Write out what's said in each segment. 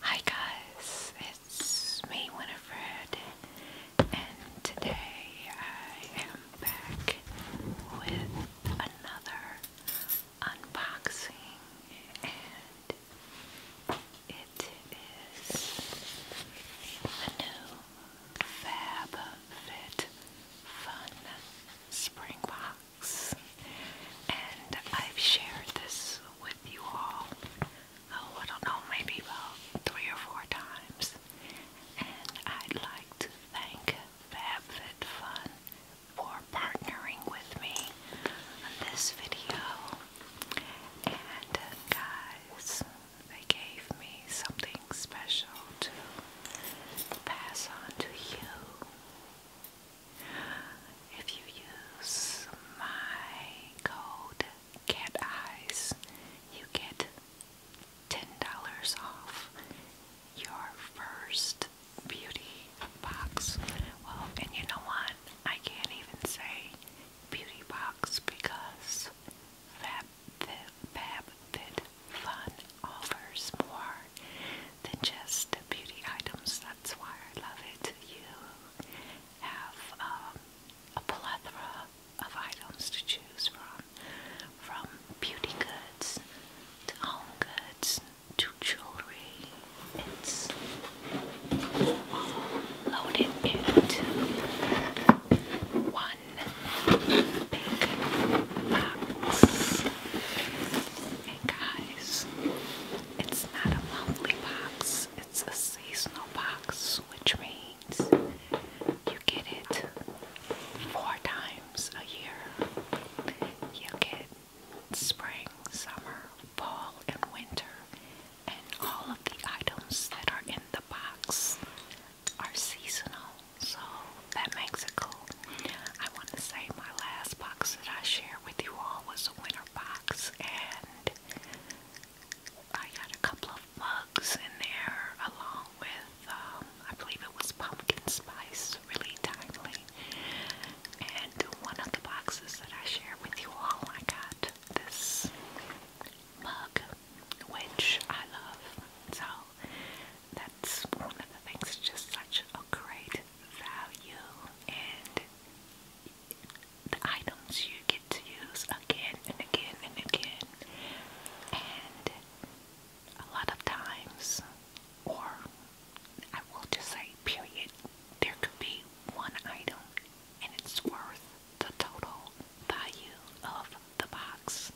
Hi guys, it's me Winifred and today I am back with another unboxing and it is a new Fab Spring Box books. And I've shared this with you all, oh, I don't know, maybe about three or four times. And I'd like to thank FabFitFun for partnering with me on this video. And guys, they gave me something special to pass on to you. If you use my code Cat Eyes, you get ten dollars off your first beauty box. Well, and you know what? I can't even say beauty box because Fab Fit, Fab Fit Fun offers more than just beauty items. That's why I love it. You have um, a plethora of items to choose from, from beauty goods to home goods to jewelry. It's loaded into one big box. And guys, it's not a monthly box, it's a seasonal box, which means you get it four times a year. You get spring, summer, fall, and winter, and all of the items that are in the box are seasonal, so that makes it cool. I want to say my last box that I shared with you all was a winter litter box and I got a couple of mugs in there along with, um, I believe it was pumpkin spice, really timely. And one of the boxes that I shared with you all, I got this mug, which I love. So that's one of the things, it's just such a great value and the items you get to use again and again and again. And a lot of times, or I will just say, period, there could be one item and it's worth the total value of the box.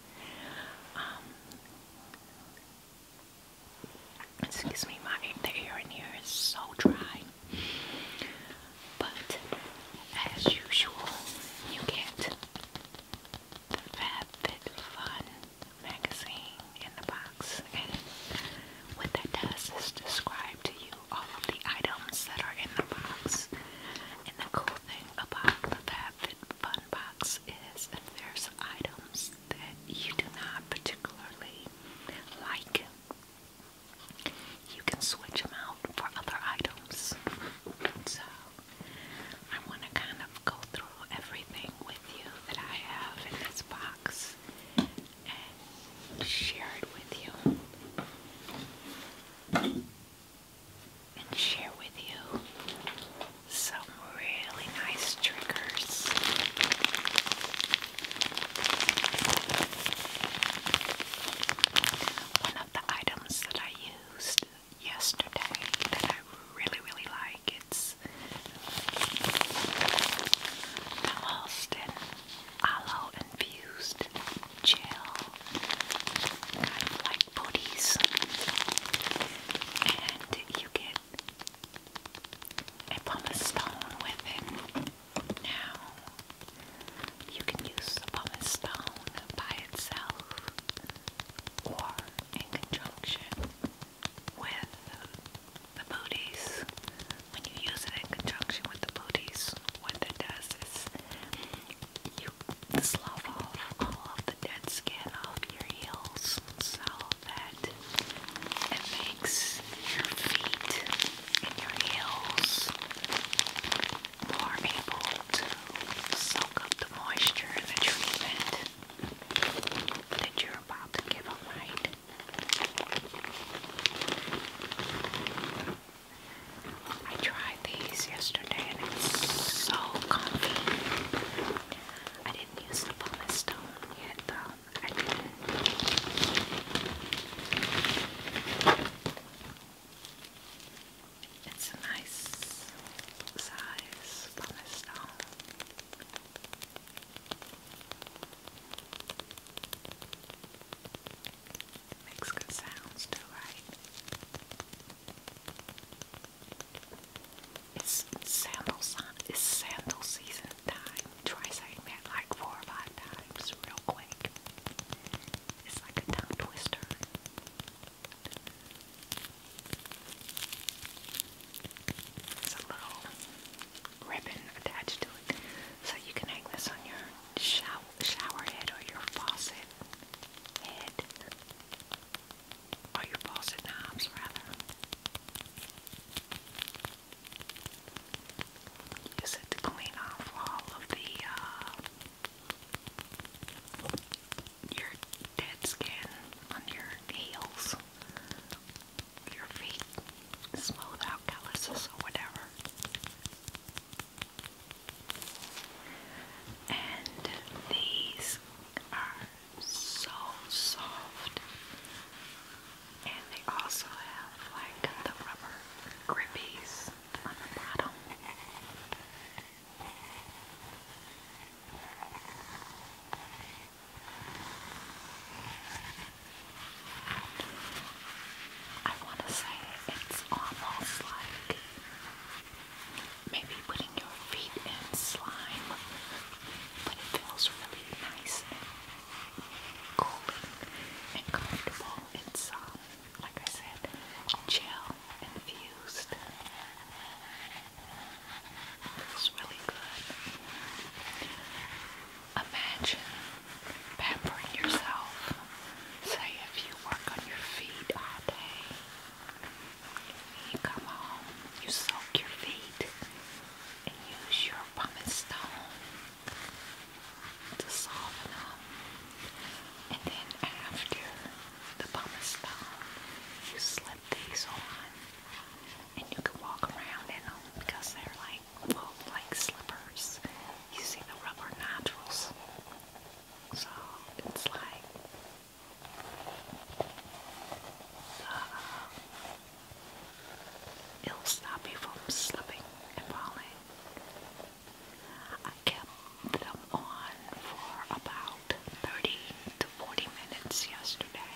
Um, Excuse me, my the air in here is so dry. But as usual, you get the FabFitFun magazine in the box, and what that does is describe to you all of the items that are in the box. And the cool thing about the FabFitFun box is that there's items that you do not particularly like you can switch them out for other items. So I want to kind of go through everything with you that I have in this box and share it with you. And share with you some really nice triggers. One of the items that I used yesterday that I really, really like it's the Halston Aloe Infused Gel, kind of like booties. And you get I pumice stone with it. Now you can use the pumice stone by itself or in conjunction with the booties. When you use it in conjunction with the booties, what that does is you slough off all of the dead skin off your heels. So that it makes your feet and your heels more able to soak up the moisture and the treatment that you're about to give a I tried these yesterday and it's so comfy. I didn't use the pumice stone yet though. It's a nice size pumice makes good sounds too, right? It's sandal sun. It's sandal season time. Try saying that like four or five times, real quick. It's like a tongue twister. It's a little ribbon attached to it, so you can hang this on your shower, shower or your faucet head, or your faucet knobs rather. Use it to clean off all of the uh, your dead skin on your heels, your feet, smooth out calluses or whatever. And these are so soft. And they also have like the rubber grippies on the bottom. I want to say it's almost like maybe putting your feet in slime but it feels really nice cooling and comfortable. It's, like I said, gel infused. It's really good. Imagine pampering yourself. Say if you work on your feet all day, you come home, you soak your feet and use your pumice stone to soften up. And then after the pumice stone, you slip these on, and you can walk around in them because they're like well, like slippers. You see the rubber nodules, so it's like. Uh, It'll stop you from slipping and falling. I kept them on for about 30 to 40 minutes yesterday,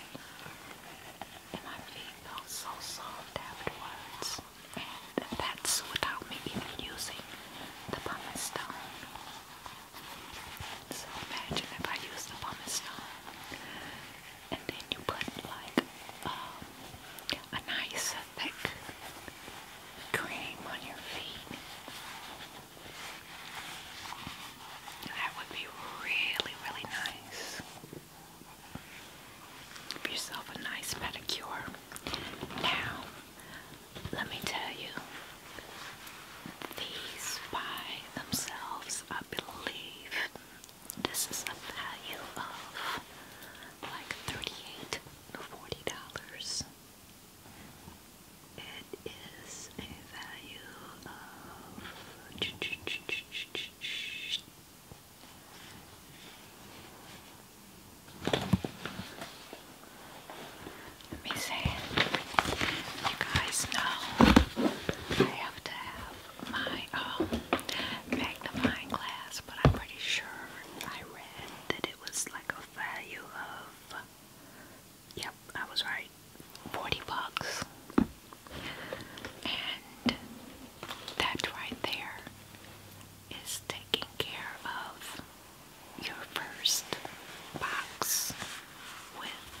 and my feet felt so soft afterwards. And that's without me even using the pumice stone. So imagine if I used the pumice stone and then you put like um, a nice thick cream on your feet. That would be really, really nice. Give yourself a nice pedicure. Now, let me tell you, these by themselves I believe this is a value of like thirty-eight to forty dollars. It is a value of let me say, you guys know have to have my um, magnifying glass, but I'm pretty sure I read that it was like a value of, yep, I was right, 40 bucks. And that right there is taking care of your first box with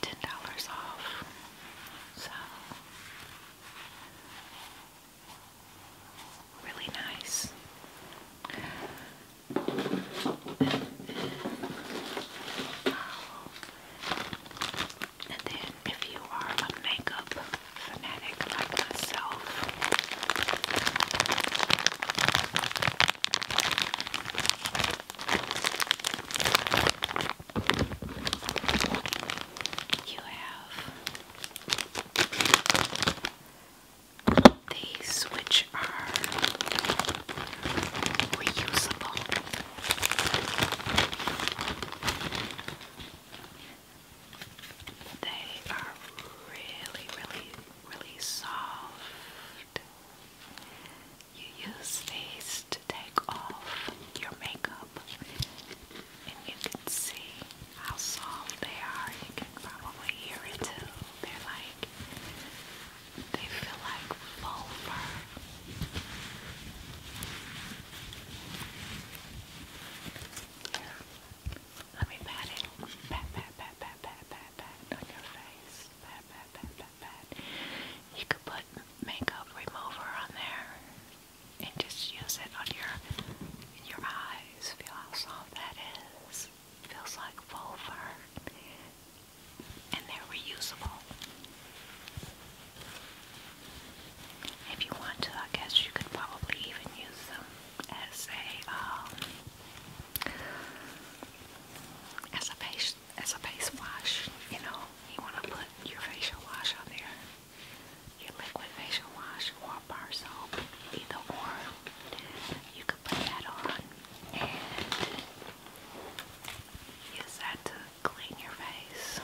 the ten dollars off. So really nice. And then if you are a makeup fanatic like myself, you have these, which are reusable. They are really, really, really soft. You use these to take off your makeup and you can see how soft they are. You can probably hear it too. They're like, they feel like full fur. Let me pat it. Pat, pat, pat, pat, pat, pat, pat on your face. Pat, pat pat, pat, pat, pat. You could put makeup remover on there and just use it on your in your eyes. Feel how soft that is. Feels like vulvar. And they're reusable. If you want to, I guess you could probably even use them as a um, as a face as a face wash, you know, you want to put your facial wash on there, your liquid facial wash or bar soap, either or, you could put that on and use that to clean your face.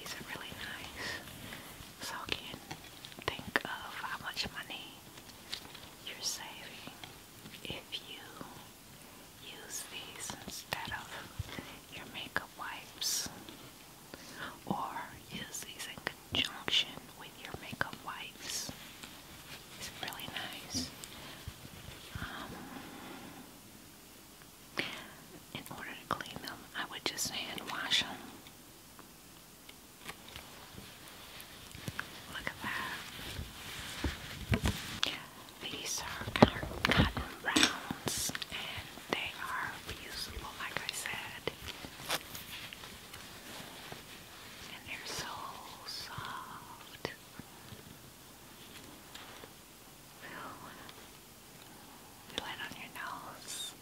These are really nice so can think of how much money you're saving if you use these instead of your makeup wipes or use these in conjunction with your makeup wipes. It's really nice. Um, in order to clean them, I would just hand wash them Look at that. These are cotton rounds and they are reusable, like I said. And they're so soft. You land on your nose.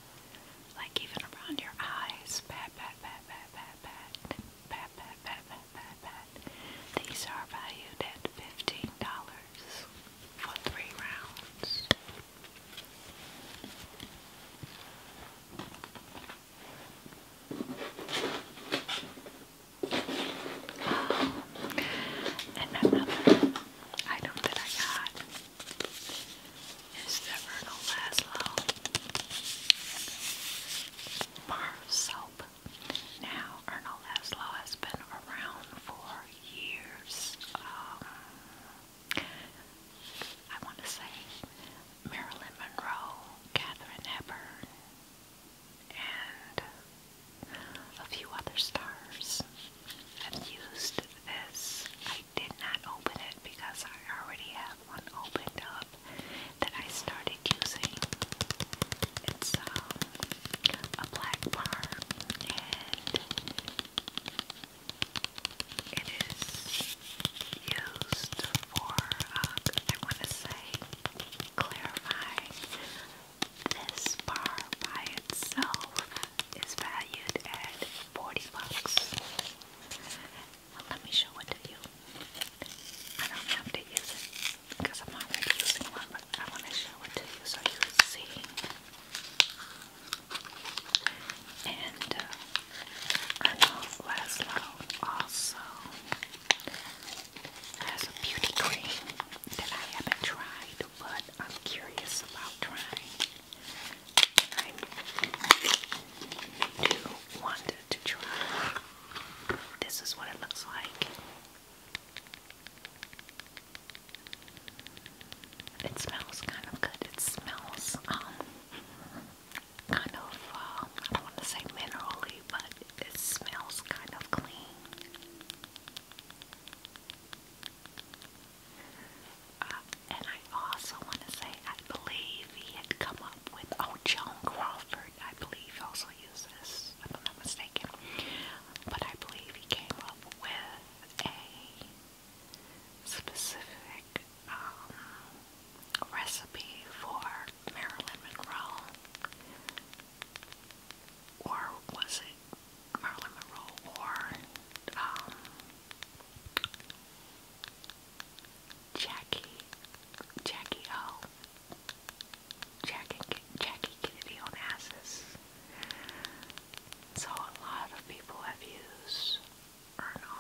Like even around your eyes. Pat, pat, pat, pat, pat, pat. Pat, pat, pat, pat, pat, These are valued at $15 for three rounds. and another item that I got it's never gonna last long. soap now Erno Laszlo has been around for years. Um, I want to say Marilyn Monroe, Katherine Hepburn, and a few other stars have used this. I did not open it because I already have one opened up that I started using. It's um, a black bar and it is used for, um, I want to say, clarifying. This bar by itself is valued at 40 bucks. Well, let me show it to you. I don't have to use it because I'm already using one, but I want to show it to you so you can see. And uh, Arnold Laszlo also has a beauty cream that I haven't tried but I'm curious about trying. I do want to try. This is what it looks like. It smells kind of good. It smells um kind of uh, I don't want to say minerally, but it smells kind of clean. Uh, and I also want to say I believe he had come up with, oh, Joan Crawford, I believe also used if I'm not mistaken. But I believe he came up with a specific um, recipe for Maryland Monroe. Or was it Marilyn Monroe or um, Jackie, Jackie O, Jackie, Jackie Kennedy on So a lot of people have used Erno,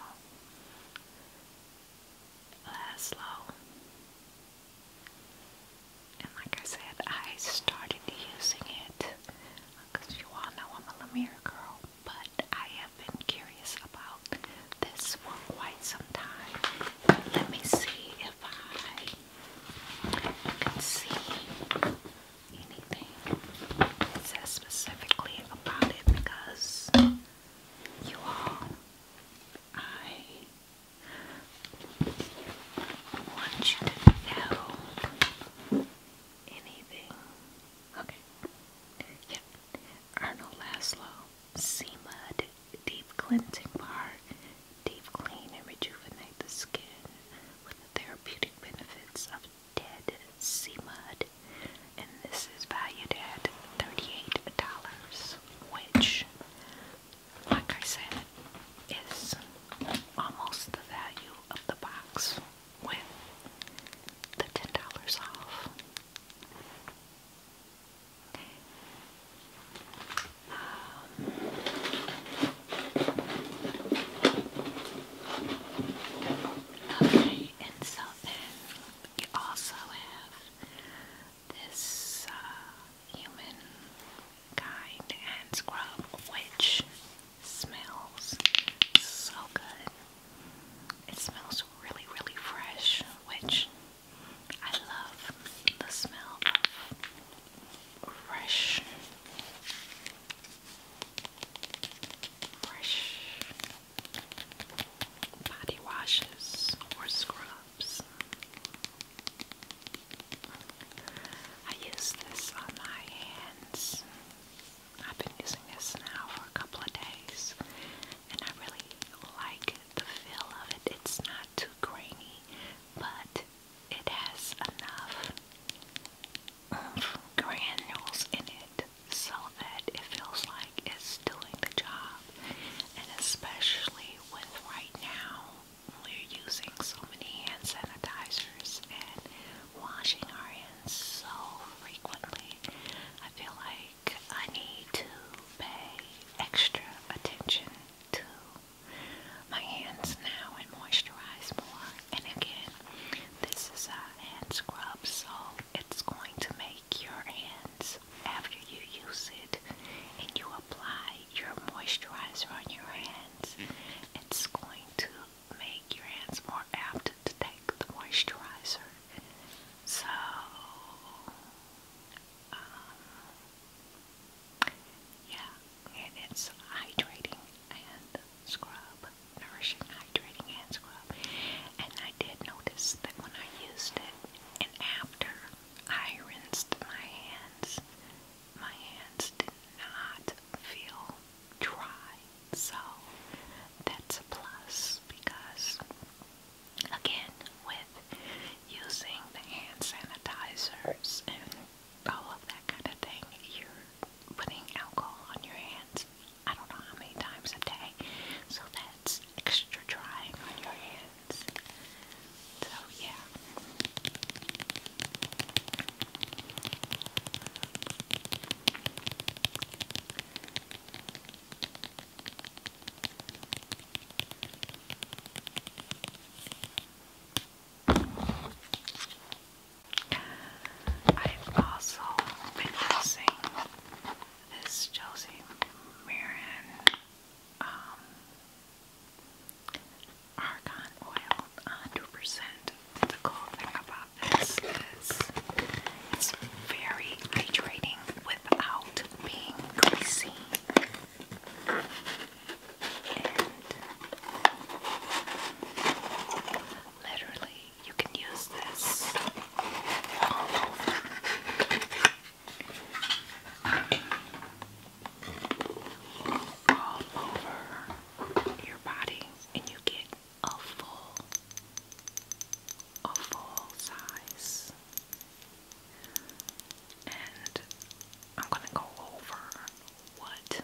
Laszlo, and like I said, I started using it because you all know I'm a Lemire girl, but I have been curious about this for quite some time. Let me see if I can see anything that says specifically about it because you all, I want you to know anything. Okay. Yep. Arnold Laslow. Sea Mud, Deep Cleansing Bar, Deep Clean and Rejuvenate the Skin with the therapeutic benefits of dead sea mud. And this is valued at $38, which, like I said, is almost the value of the box with the $10 off. Um, okay, and so then you also have this uh, human kind hand scrub, which smells so good. It smells really, really fresh, which I love the smell of fresh, fresh body washes or scrubs. I use this on my hand I've been using this now for a couple of days and I really like the feel of it. It's not too grainy, but it has enough granules in it so that it feels like it's doing the job. And especially with right now, we're using so many hand sanitizers and washing our hands so frequently. I feel like I need to pay extra attention to my hands now and moisturize more. And again, this is a hand scrub, so it's going to make your hands, after you use it and you apply your moisturizer on your hands, mm. it's going to make your hands more apt to take the moisturizer. So, um, yeah, and it's hydrating and scrub, nourishing, hydrating hand scrub. And I did notice that when I used it, and after I rinsed my hands, my hands did not feel dry, so that's a plus because, again, with using the hand sanitizers and all of that kind of thing, you're putting alcohol on your hands. I don't know how many times a day, so that's extra drying on your hands. So, yeah, I've also been this Josie Marin um, Argan oil, 100%. The cool thing about this is it's very hydrating without being greasy. And literally, you can use this all over. All over your body and you get a full, a full size. And I'm going to go over what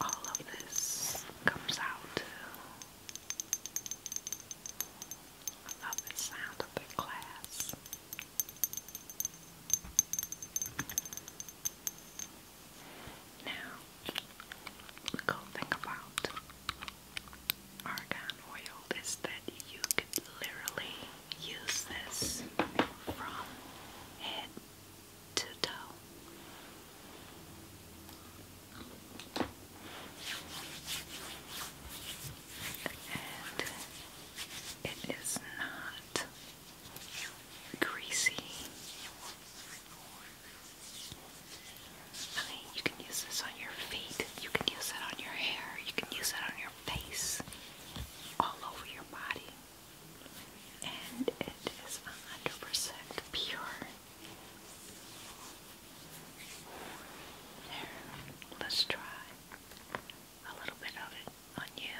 all of this comes out I love the sound of the glass. Now, the cool thing about argan oil is that you could literally use this from head to toe. And it is not greasy. you can use this on your feet, you can use it on your hair, you can use it on your face, all over your body. And it is 100% pure. let's try a little bit of it on you,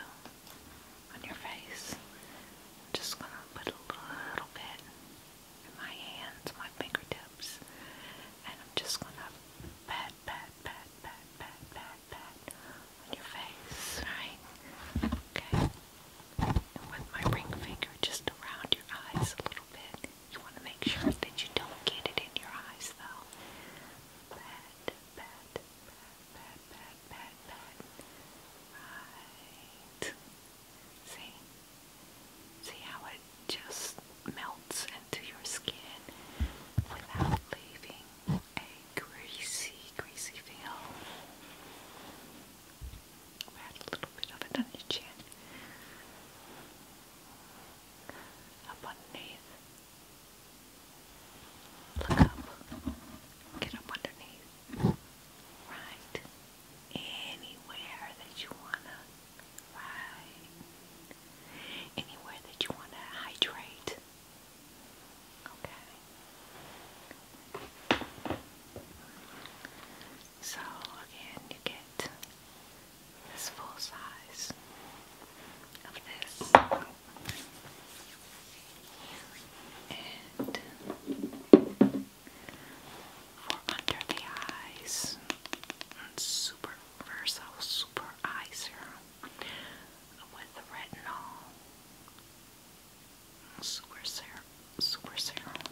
on your face. I'm just going to put a little bit in my hands, my fingertips, and I'm just going to pat, pat, pat, pat, pat, pat, pat on your face, right? Okay. And with my ring finger just around your eyes a little bit. You want to make sure that you don't get it in your eyes though. Pat, pat, pat, pat, pat, Right. See? See how it just melts into your skin without leaving a greasy, greasy feel. Add a little bit of it on your chin. Up underneath. Look up. Get up underneath. Right. Anywhere that you wanna right. Anywhere that you wanna hydrate. Okay. So again you get this full size of this for under the eyes super versatile super eye serum with retinol super serum super serum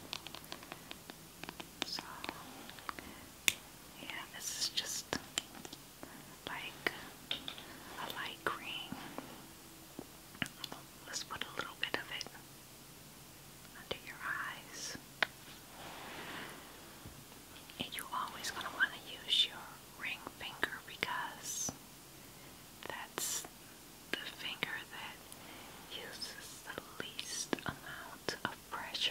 so yeah, this is just like a light green. Let's put a little bit of it under your eyes. And you're always going to want to use your ring finger because that's the finger that uses the least amount of pressure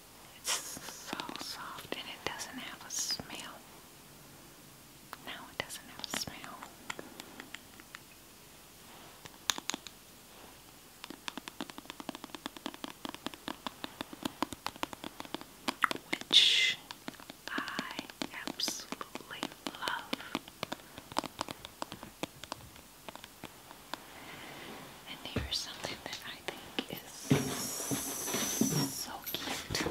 It's so soft and it doesn't have a smell. No, it doesn't have a smell. Which I absolutely love. And here's something that I think is so cute.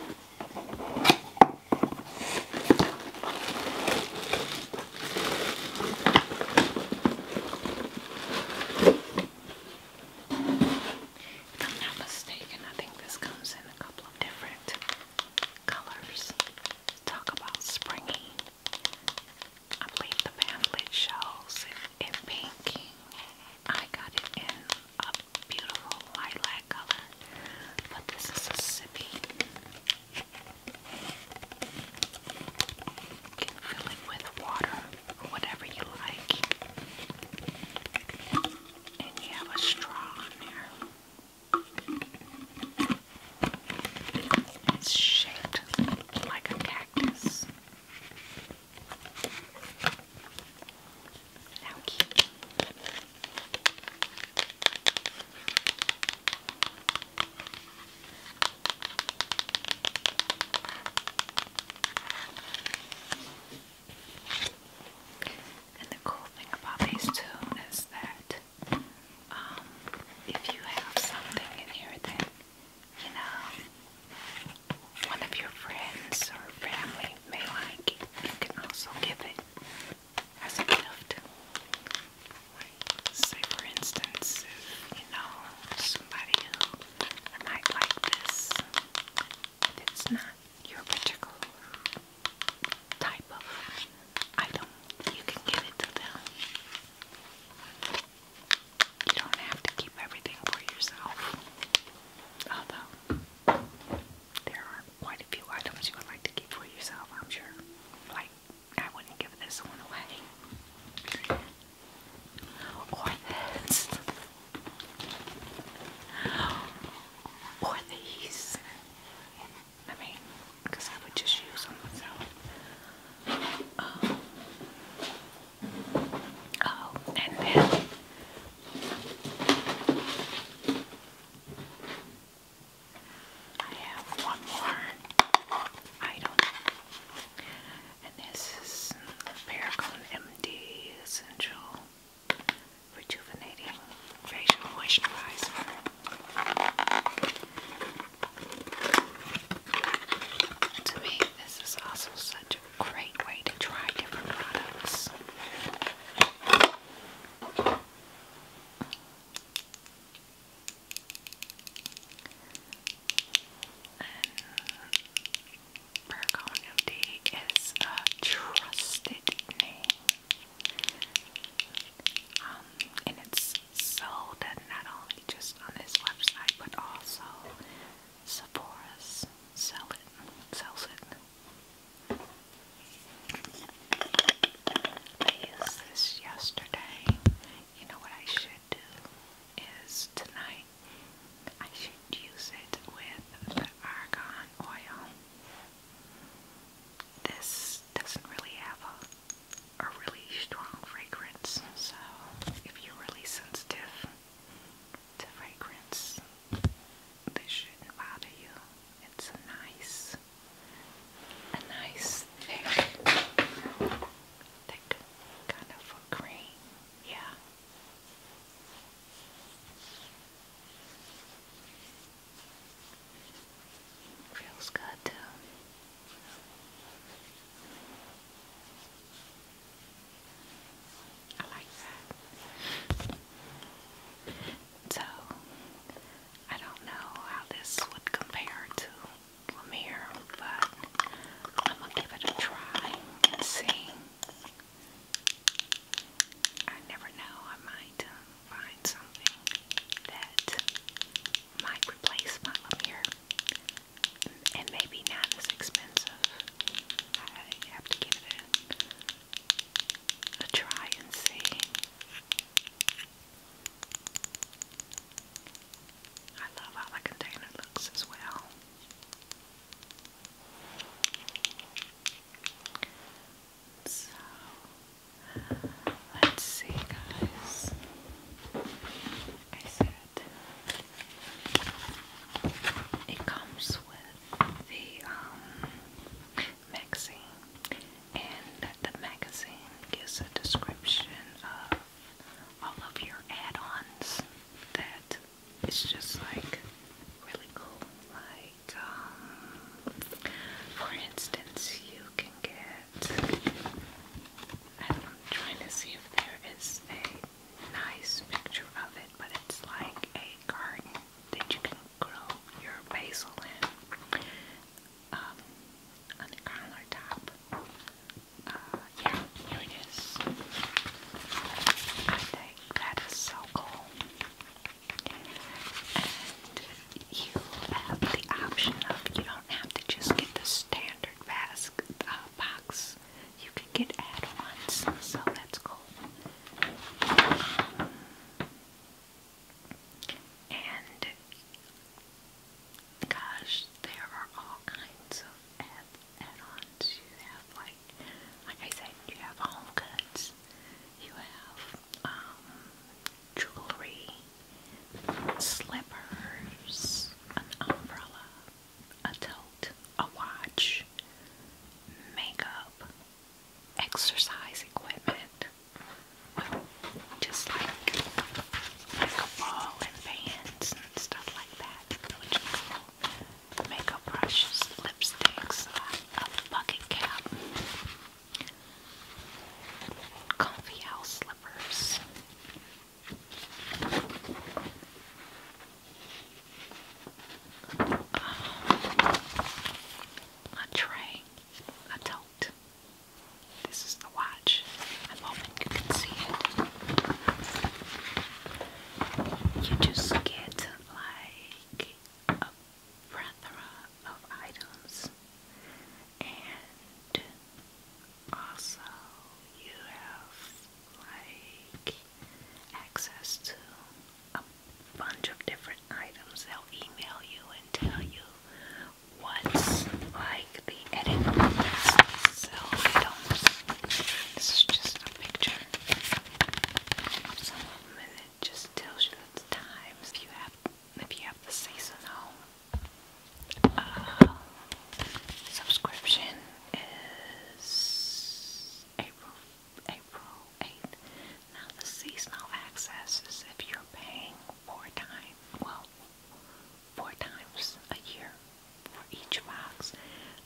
If I'm not mistaken, I think this comes in a couple of different colors. Talk about springy. I believe the pamphlet shows in pink. I got it in a beautiful lilac color, but this is a sippy. can fill it with water whatever you like. And you have a straw on there. It's shaped like a cactus. How And the cool thing about these two is that um, if you have something in here that you know, one of your friends or family may like, you can also give it as a gift. Like, say for instance, if, you know, somebody who might like this, it's not your particular type of item, you can give it to them. You don't have to keep everything for yourself. Although, there are quite a few items you would like to keep for yourself, I'm sure. Like, I wouldn't give this one away. Or this. Or these. I mean, because I would just use them myself. Um, Oh, and then I have one more item, and this is Paragon MD Essential Rejuvenating Facial Moisturizer. To me, this is also such a great way to try different products. And is a trusted name. Um, and it's sold not only just on this website but also Sephora's sell it, sells it. I used this yesterday. You know what I should do is tonight I should use it with the argan oil. This doesn't really have a a really strong fragrance, so if you're really sensitive the fragrance. This shouldn't bother you. It's a nice, a nice thick, kind of cream. Yeah. Feels good too. I like that. So, I don't know how this would compare to Lemire, but I'm gonna give it a try and see. I never know, I might uh, find something that might replace my Lemire and maybe not as expensive. I have to give it a, try and see. I love how the container looks as well. So let's see, guys. It comes with the um, magazine, and the magazine gives a description of all of your add-ons that it's just like really cool. Like, um, for instance, you can get. I'm trying to see if there is a nice picture of it, but it's like a garden that you can grow your basil in um, on the countertop. Uh, yeah, here it is. I think that is so cool. And you have the option of, you don't have to just get the standard basket, uh, box you can get add-ons, so that's cool. And gosh, there are all kinds of add-ons. You have like, like I said, you have home goods, you have um, jewelry, slippers, an umbrella, adult, a watch, makeup, exercise equipment, just like makeup and bands and stuff like that, which is Makeup brushes, lipsticks, a, a bucket cap, comfy house slippers. Um, a tray, a tote. This is the watch. I'm hoping you can see it. You just get like a plethora of items and also you have like access to a bunch of different items. They'll email you and tell you what's like the edit process. So I This is just a picture of some of them, and it just tells you the times. If you have, if you have the seasonal uh, subscription is April April 8th. Now the seasonal access is if you're paying four times, well, four times a year for each box,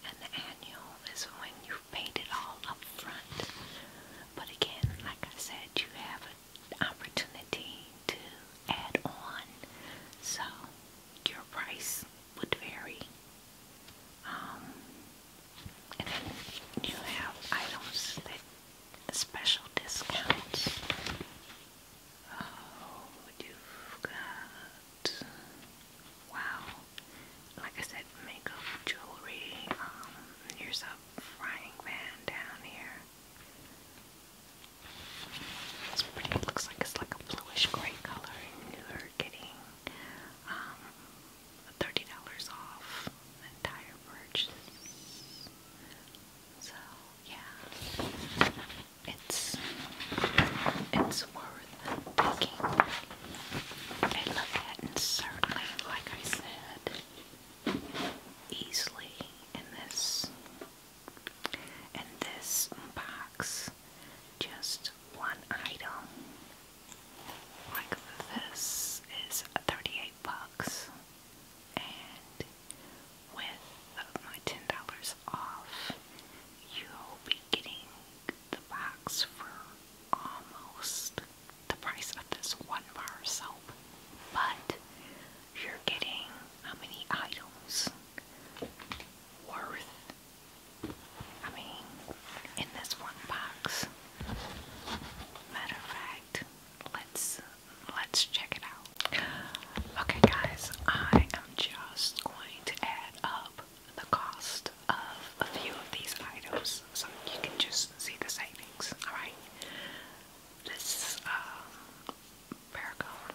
and the annual is when you've paid it all up front. But again, like I said, you have an opportunity to add on. So your price would vary. Um, and then you have items that special discounts. Oh, you've got wow! Like I said, makeup, jewelry. Um, here's a frying pan down here. It's pretty. It looks like it's like a bluish gray color, and you're getting um, thirty dollars off the entire purchase. So yeah, it's it's worth taking a look at, and certainly, like I said, easily in this and this unpacks just one item. Like this is 38 bucks, and with my ten dollars off, you'll be getting the box for almost the price of this one bar soap. But you're getting how many items worth? I mean, in this one box. Matter of fact, let's let's check it out. Okay, guys, I am just going to add up the cost of a few of these items so you can just see the savings. All right, this um, Paracone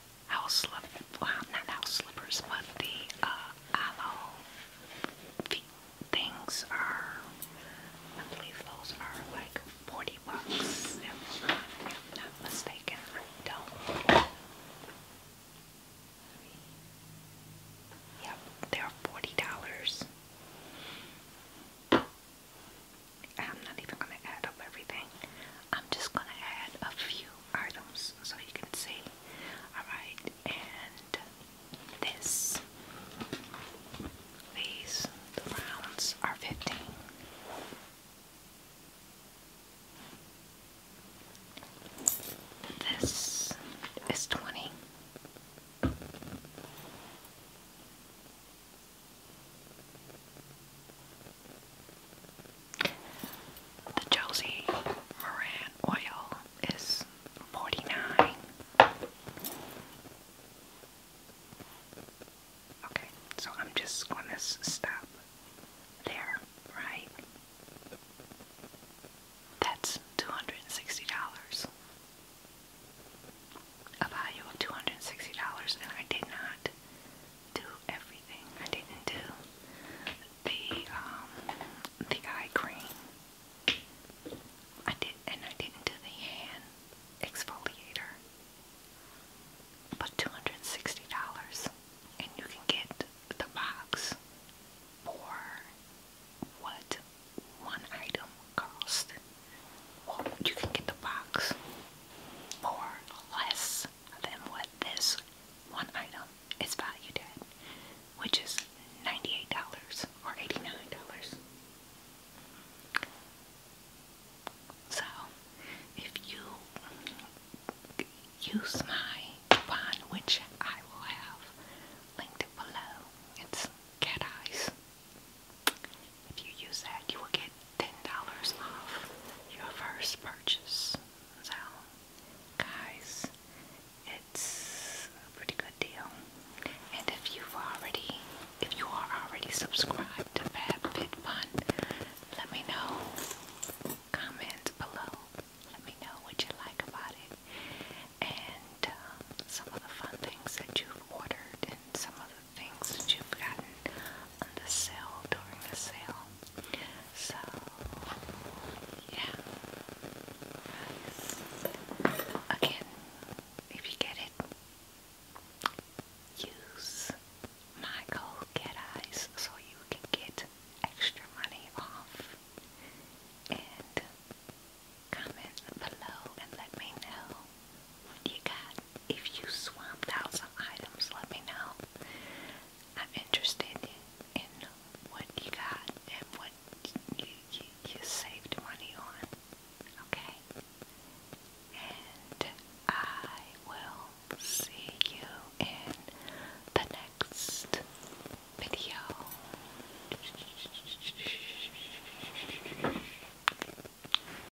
house slippers, well, not house slippers, but the uh, aloe feet things are, I believe those are like 40 bucks, if I'm not mistaken. I don't. Yep, they're $40. I'm not even going to add up everything. I'm just going to add a few items so you can see. Alright, and this. These, rounds, are 15. This is 20. The Josie Moran oil is forty nine. Okay, so I'm just going to stop there, right? That's two hundred and sixty dollars. A value of two hundred and sixty dollars, and I did not do everything. I didn't do the um the eye cream. I did and I didn't do the hand exfoliator. But two hundred and sixty dollars and you can get the box for what one item cost. you can get the box more less than what this one item is valued which is $98 or $89. So, if you use my coupon, which I will have linked below, it's Cat Eyes if you use that, you will get $10 off your first purchase. So, guys, it's a pretty good deal. And if you've already, if you are already subscribed to FabFitFun, let me know. Comment below. Let me know what you like about it. And um, some of the fun things that you've ordered and some of things that you've gotten on the sale during the sale. So, yeah. Again, if you get it, use my code Get so you can get extra money off. And comment below and let me know what you got. If you swamped out some items, let me know. I'm interested in, in what you got and what you, you, you saved money on. Okay? And I will see you in the next video.